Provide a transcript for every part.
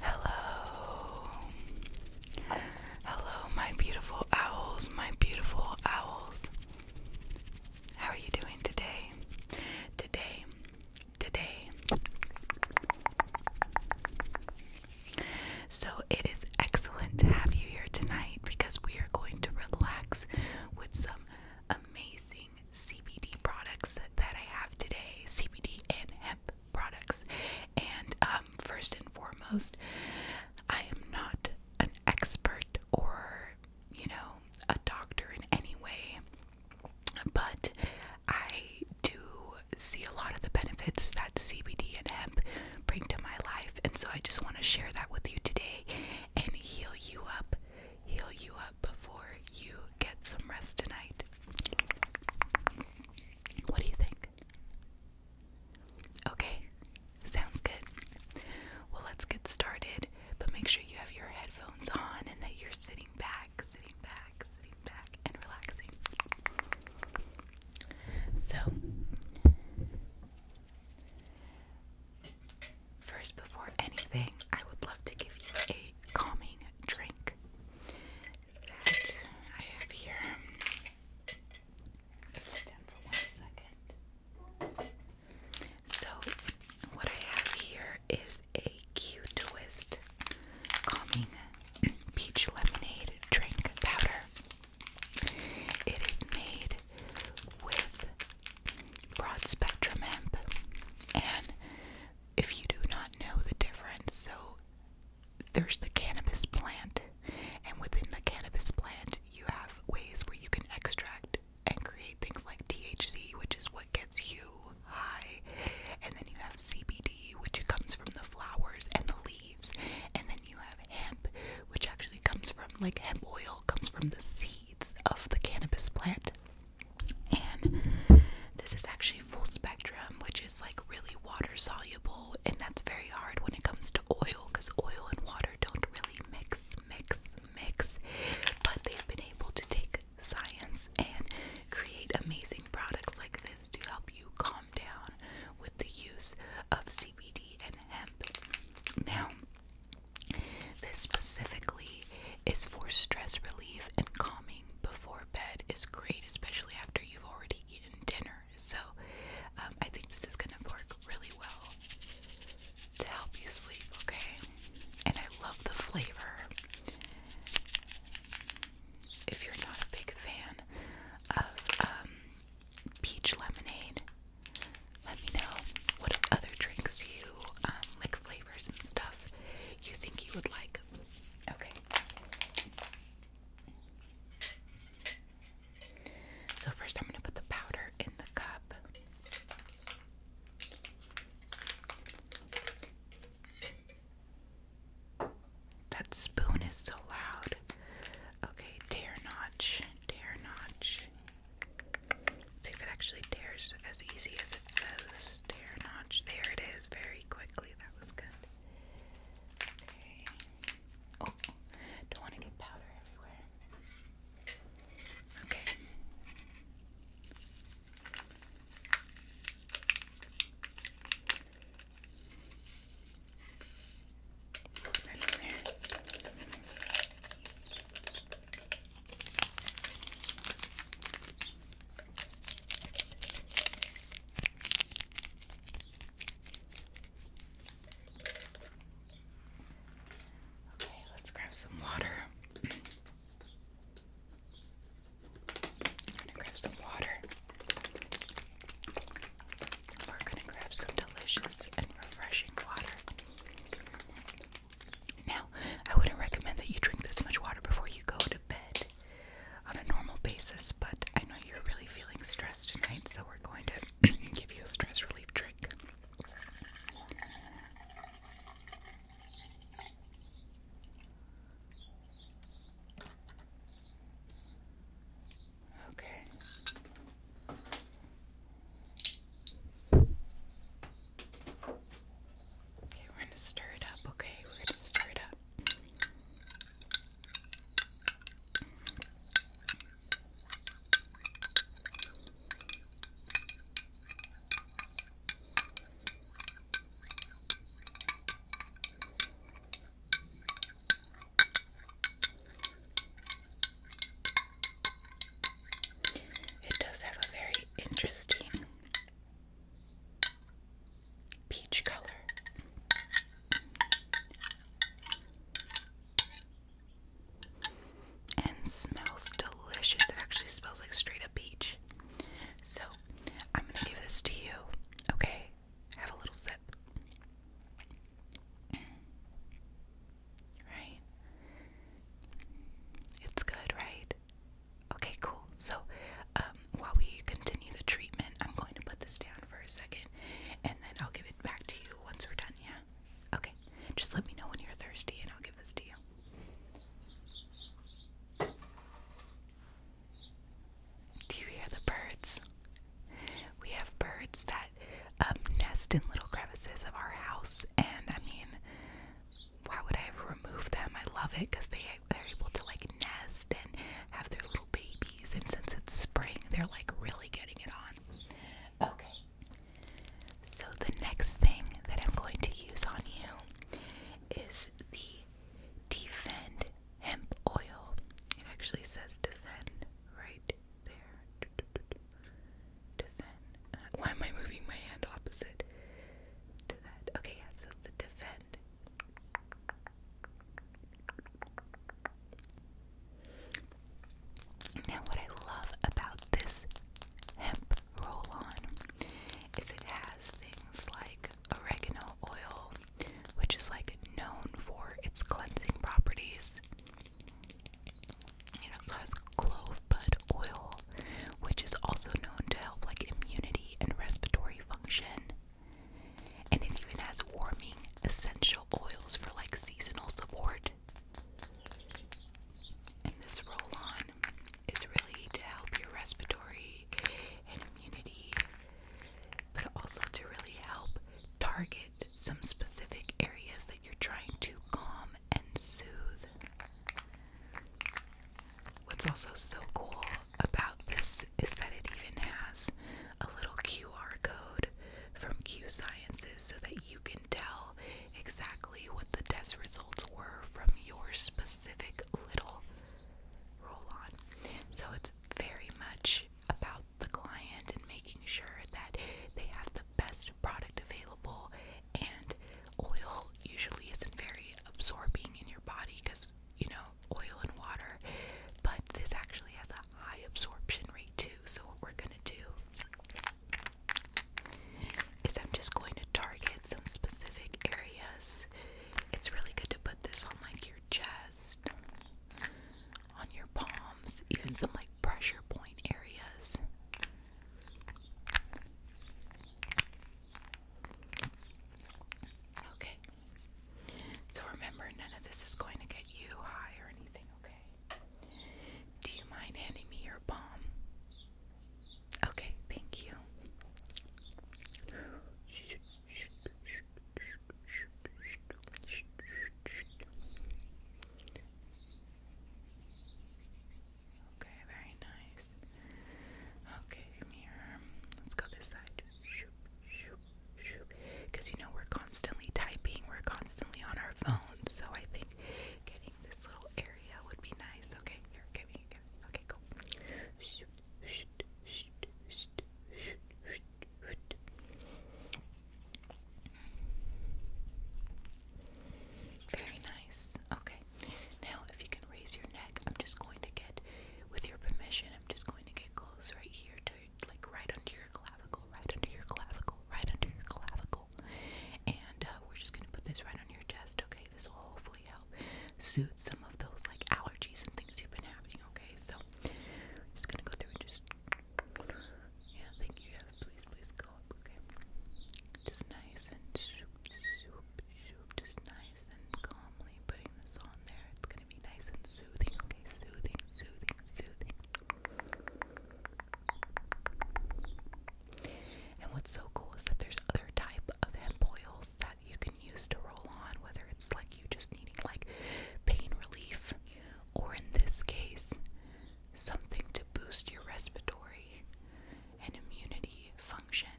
Hello. Hello, my beautiful owls, my beautiful owls. How are you doing today? Today, today. So it is excellent to have you here tonight because we are going to relax with some amazing CBD products that, I have today, CBD and hemp products. And um, first and foremost, I am not an expert or, you know, a doctor in any way. But I do see a lot of the benefits that CBD and hemp bring to my life, and so I just want to share that with you today and heal you up, heal you up before you get some rest tonight. What do you think? Okay, sounds good. Well, let's get started, but make sure you have your headphones on and that you're sitting sitting back, sitting back, sitting back, and relaxing. So, first, before anything, I would love to give you a calming drink that I have here. So, what I have here is a cute Twist Calming Peach Lemonade Drink Powder. It is made with broad spectrum hemp, and if you do not know the difference, so there's the cannabis plant, and within the cannabis plant, you have ways where you can extract and create things like THC, which is what gets you high, and then you have CBD, which comes from the flowers and the leaves, and then you have hemp, which actually comes from like hemp oil, comes from the seeds of the cannabis plant. And this is actually full spectrum, which is like really water soluble, and that's very hard when it comes to oil because oil and water don't really mix, mix, mix. But they've been able to take science and create amazing products like this to help you calm down with the use of CBD and hemp. Now, this specifically is for stress relief and calming before bed is great, especially after you've already eaten dinner. So, um, I think this is going to work really well to help you sleep, okay? and I love the flavor. If you're not a big fan of um, peach lemonade, let me know what other drinks you um, like, flavors and stuff you think you would like. Okay. So, first, I'm going to put the powder in the cup. That spoon is so loud. Okay, tear notch, tear notch. see if it actually tears as easy as it says. Tear notch. There it is, very quickly. That was good. Okay. Oh, don't want to get powder everywhere. Okay. Okay, let's grab some water. I'm gonna grab some water. We're gonna grab some delicious and refreshing water. Now, I wouldn't recommend that you drink this much water before you go to bed on a normal basis, but I know you're really feeling stressed tonight, so we're going to give you a stress relief drink. Okay. Okay, we're going to stir it up, okay? We're going to stir it up. It does have a very interesting peach color. And smells delicious. It actually smells like straight up peach. So, I'm going to give this to you, okay? Have a little sip. Right? It's good, right? Okay, cool. So, um, while we continue the treatment, I'm going to put this down for a second and then I'll give it back to you once we're done, yeah? Okay. Just let me know when you're thirsty and I'll give this to you. Do you hear the birds? We have birds that um, nest in little crevices of our house, and I mean, why would I ever remove them? I love it because they are able to like nest and have their little babies, and since it's spring, they're like really getting it on. Okay, so the next thing that I'm going to use on you is the Defend Hemp Oil. It actually says Defend right there. Defend. Uh, why am I moving my hand opposite to that? Okay, yeah, so the Defend. Now, what I love about this hemp roll on is it has things like oregano oil, which is like known for its cleansing properties. It also has clove bud oil, which is also known to help like immunity and respiratory function. And it even has warming essential oils for like seasonal support. And this roll on is really to help your respiratory and immunity, but also to really help target some specific areas that you're trying to calm and soothe. What's also so cool about this is that it even has a little QR code from Q Sciences so that you can tell exactly what the test results were from your specific little roll on. So it's very much about the client and making sure that they have the best product available. And oil usually isn't very absorbing in your body because you know, oil and water, but this actually has a high absorption rate too. So, what we're gonna do is I'm just going to target some specific areas. It's really good to put this on like your chest, on your palms, even some like pressure point areas. Okay. So remember, none of this is going to get you high or anything, okay? Do you mind handing me your palm? Okay, thank you. Okay, very nice. Okay, mirror. Let's go this side. Because you know we're constantly typing, we're constantly on our phones, so I think getting this little area would be nice. Okay, here, give me, give Okay, cool. Very nice. Okay. Now, if you can raise your neck, I'm just going to get, with your permission, I'm just going to get close right here to, like, right under your clavicle, right under your clavicle, right under your clavicle. And uh, we're just going to put this right on your chest, okay? This will hopefully help help soothe some of those like allergies and things you've been having, okay? So I'm just gonna go through and just Yeah, thank you. Yeah, please, please go up, okay? Just nice and shoop, shoop, shoop, just nice and calmly putting this on there. It's gonna be nice and soothing, okay? Soothing, soothing, soothing. And what's so cool is that there's other type of hemp oils that you can use to roll on, whether it's like you just needing like pain relief, or in this case, something to boost your respiratory and immunity function.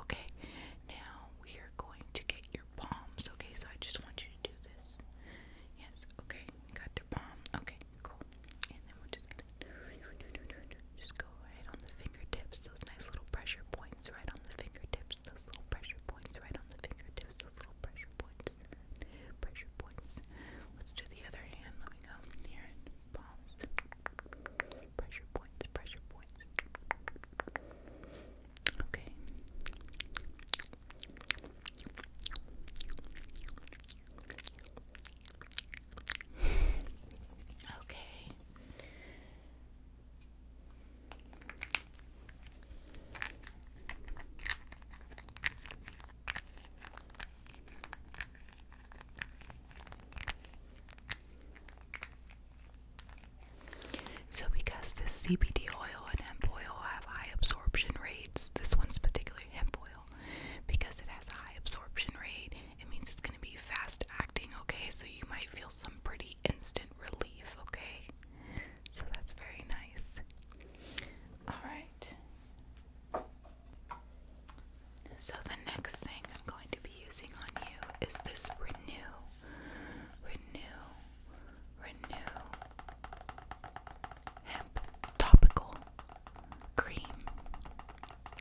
Okay, now we are going to get your palms. Okay, so I just want you to do this. Yes, okay, got the palm. Okay, cool. And then we're just gonna just go right on the fingertips, those nice little pressure points right on the fingertips, those little pressure points right on the fingertips, those little pressure points, pressure points. Let's do the other hand. Let me go here palms. Pressure points, pressure points. Okay. okay. So, because this CBD oil and hemp oil have high absorption rates, this one's particularly hemp oil, because it has a high absorption rate, it means it's going to be fast acting, okay? So you might feel some pretty instant relief, okay? So that's very nice. All right. So the next thing I'm going to be using on you is this renew. Renew. Renew hemp topical cream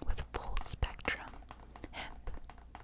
with full spectrum hemp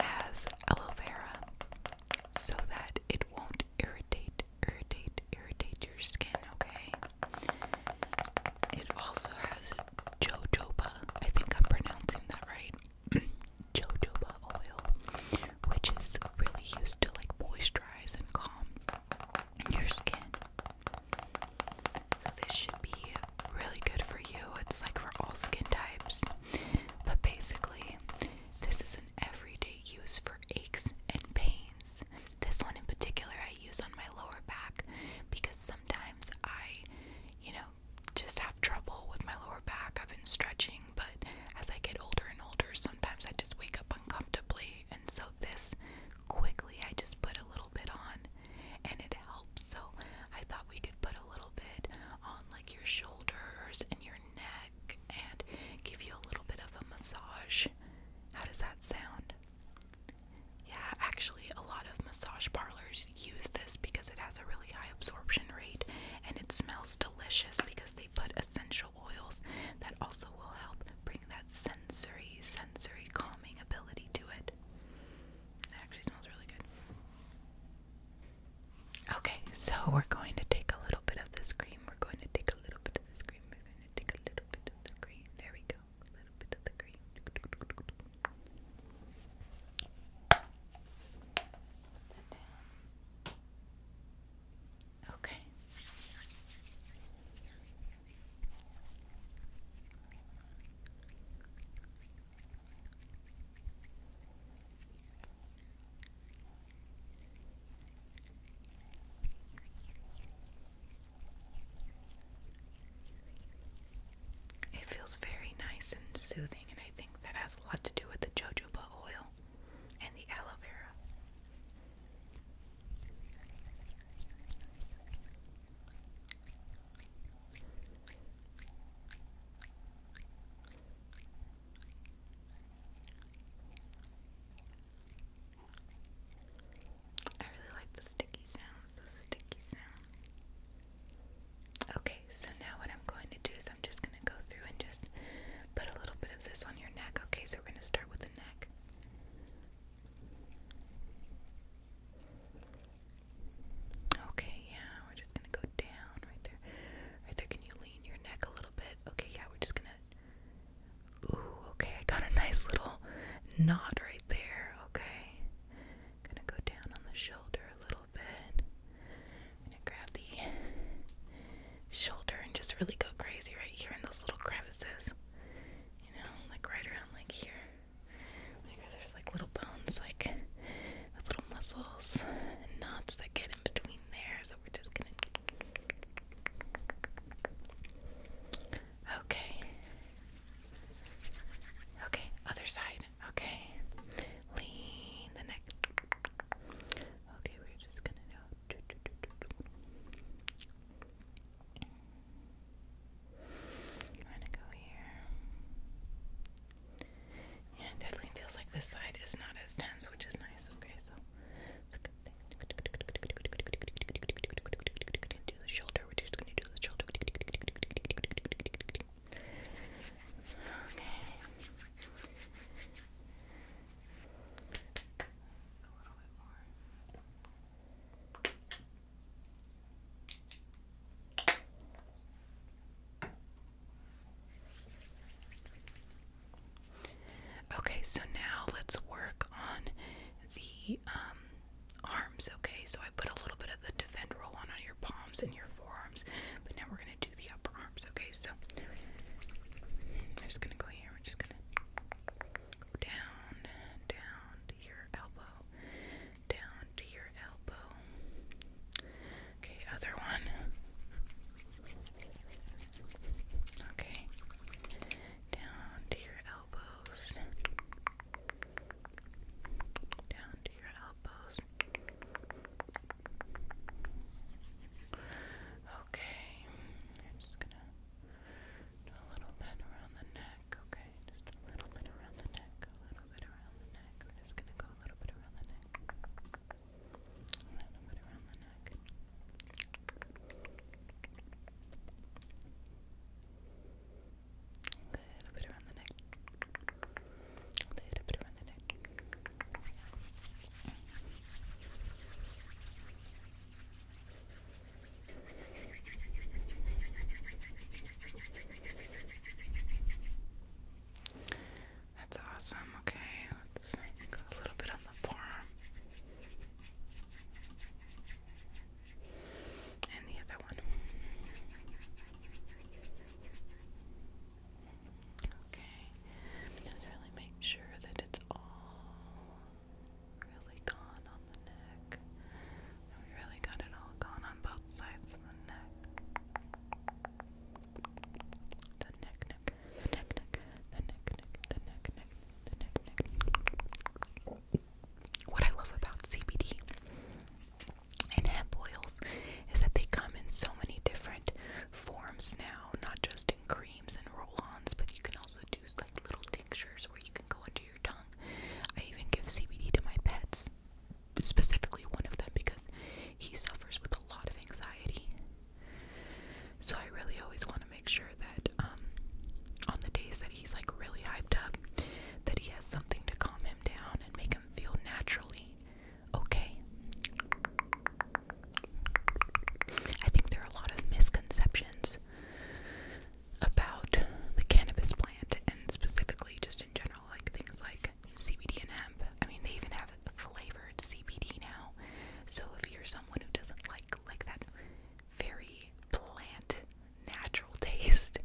has aloe vera so that it won't irritate, irritate, irritate your skin, okay? It also has jojoba, I think I'm pronouncing that right. jojoba oil, which is really used to like moisturize and calm your skin. So this should be really good for you. It's like for all skin types. But basically, this is an everyday use for aches and pains. This one in particular I use on my lower back because sometimes I, you know, just have trouble with my lower back. I've been stretching, but as I get older and older, sometimes I just wake up uncomfortably. And so this quickly I just put a little bit on and it helps. So I thought we could put a little bit on like your shoulders and your neck and give you a little bit of a massage. How does that sound? Yeah, actually, a lot of massage parlors use this because it has a really high absorption rate and it smells delicious because they put essential oils that also will help bring that sensory, sensory calming ability to it. It actually smells really good. Okay, so we're going to take a little bit of this cream. We're going to take a little bit of this cream. We're going to take a little bit of the cream. There we go. A little bit of the cream. Okay. It feels very nice and soothing, and I think that has a lot to do with the jojoba oil and the aloe vera. I really like the sticky sounds, the sticky sound. Okay, so now what I'm going to do is I'm just going to go through and just put a little bit of this on your neck. Okay, so we're going to start with the neck. Okay, yeah, we're just gonna go down right there. Right there, can you lean your neck a little bit? Okay, yeah, we're just gonna. Ooh, okay, I got a nice little knot right there, okay. Gonna go down on the shoulder a little bit. gonna grab the shoulder and just really go crazy right here in those little crevices. You know, like right around like here because there's like little bones, like with little muscles and knots that get in between there. So we're just gonna. Okay. Okay, other side. Okay. Lean the neck. Okay, we're just gonna go here definitely feels like this side is not as tense, which is nice. Okay, so it's a good thing. do the shoulder. We're just gonna do the shoulder. Okay. A little bit more. Okay, so now let's work on the um, arms. Okay, so I put a little bit of the defend roll on on your palms and your forearms, but now we're gonna do the upper arms. Okay, so I'm just gonna go here. We're just gonna go down, down to your elbow, down to your elbow. Okay, other one. Okay, down to your elbows. Down to your elbows. Okay, I'm just gonna do a little bit around the neck. Okay, just a little bit around the neck, a little bit around the neck. I'm just gonna go a little bit around the neck. A little bit around the neck. A little bit around the neck. A little bit around the neck. That's awesome. Okay, let's go a little bit on the forearm. And the other one. Okay. Just really make sure that it's all really gone on the neck. We really got it all gone on both sides of the neck. What I love about CBD and hemp oils is that they come in so many different forms now, not just in creams and roll-ons, but you can also do like little tinctures where you can go under your tongue. I even give CBD to my pets specifically one of them because he suffers with a lot of anxiety. So I really always want to make sure that um, on the days that he's like really hyped up, that he has something to calm him down and make him feel naturally okay. I think there are a lot of misconceptions about the cannabis plant and specifically just in general like things like CBD and hemp. I mean, they even have flavored CBD now. So if you're someone who doesn't like like that very plant natural taste,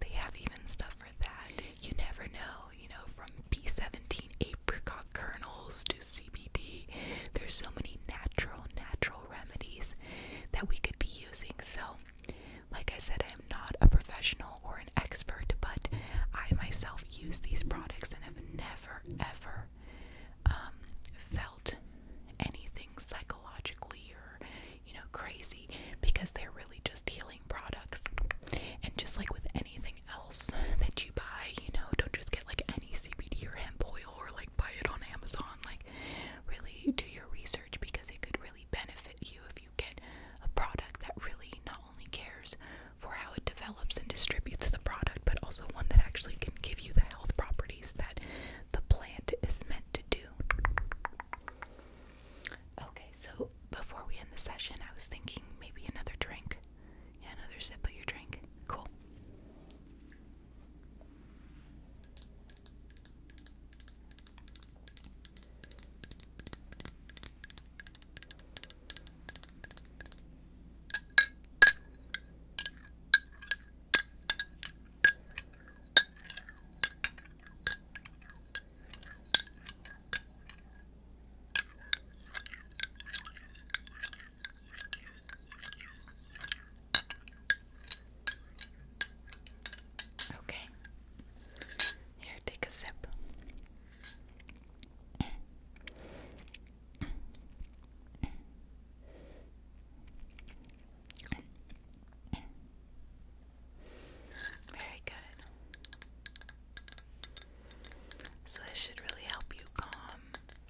they have even stuff for that. You never know, you know, from P 17 apricot kernels to CBD. There's so many natural natural remedies that we could be using. So like I said, I'm not a professional or an expert, but I myself use these products and have never ever um, felt anything psychologically or you know crazy because they're really just healing products. And just like with anything else that you buy, you know, don't just get like any CBD or hemp oil or like buy it on Amazon. Like, really do your research because it could really benefit you you get a product that really not only cares for how it develops and distributes the product, but also one that actually can give you the health properties that the plant is meant to do. Okay, so before we end the session, I was thinking maybe another drink. Yeah, another sip of your drink. Cool. Okay. Here, take a sip. Very good. So, this should really help you calm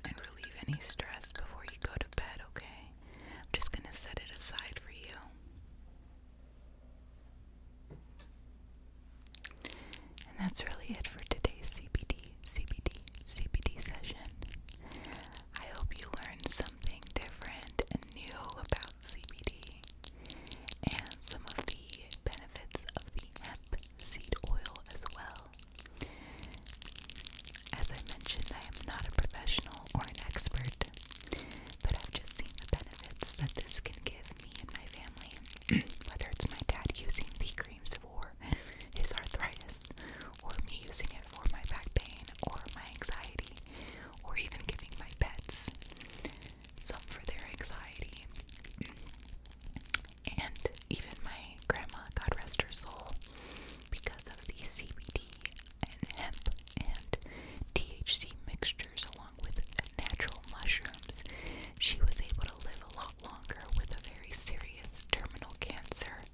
and relieve any stress before you go to bed, okay? I'm just going to set it aside for you. And that's really it for today's CBD, CBD, CBD session. I hope you learned something different and new about CBD and some of the benefits of the hemp seed oil as well. As I mentioned, I am not a professional or an expert, but I've just seen the benefits that this can give me and my family, whether it's my dad using the creams for his arthritis, or me using it for my back pain, or my anxiety, or even giving my pets some for their anxiety. And even my grandma, God rest her soul, because of the CBD and hemp and THC mixtures along with natural mushrooms, she was able to live a lot longer with a very serious terminal cancer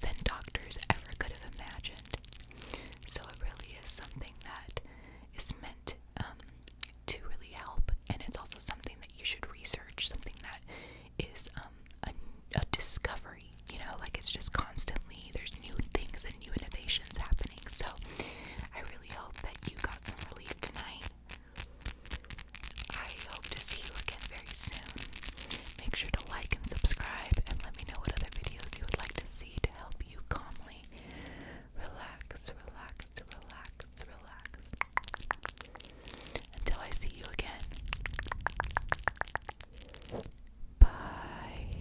than doctors ever could have imagined. So it really is something that is meant um, to really help, and it's also something that you should research, something that is um, a discovery, you know, like it's just constantly, there's new things and new innovations happening. So I really really hope that you got some relief tonight. I hope to see you again very soon. Make sure to like and subscribe and let me know what other videos you would like to see to help you calmly relax, relax, relax, relax. Until I see you again. Bye.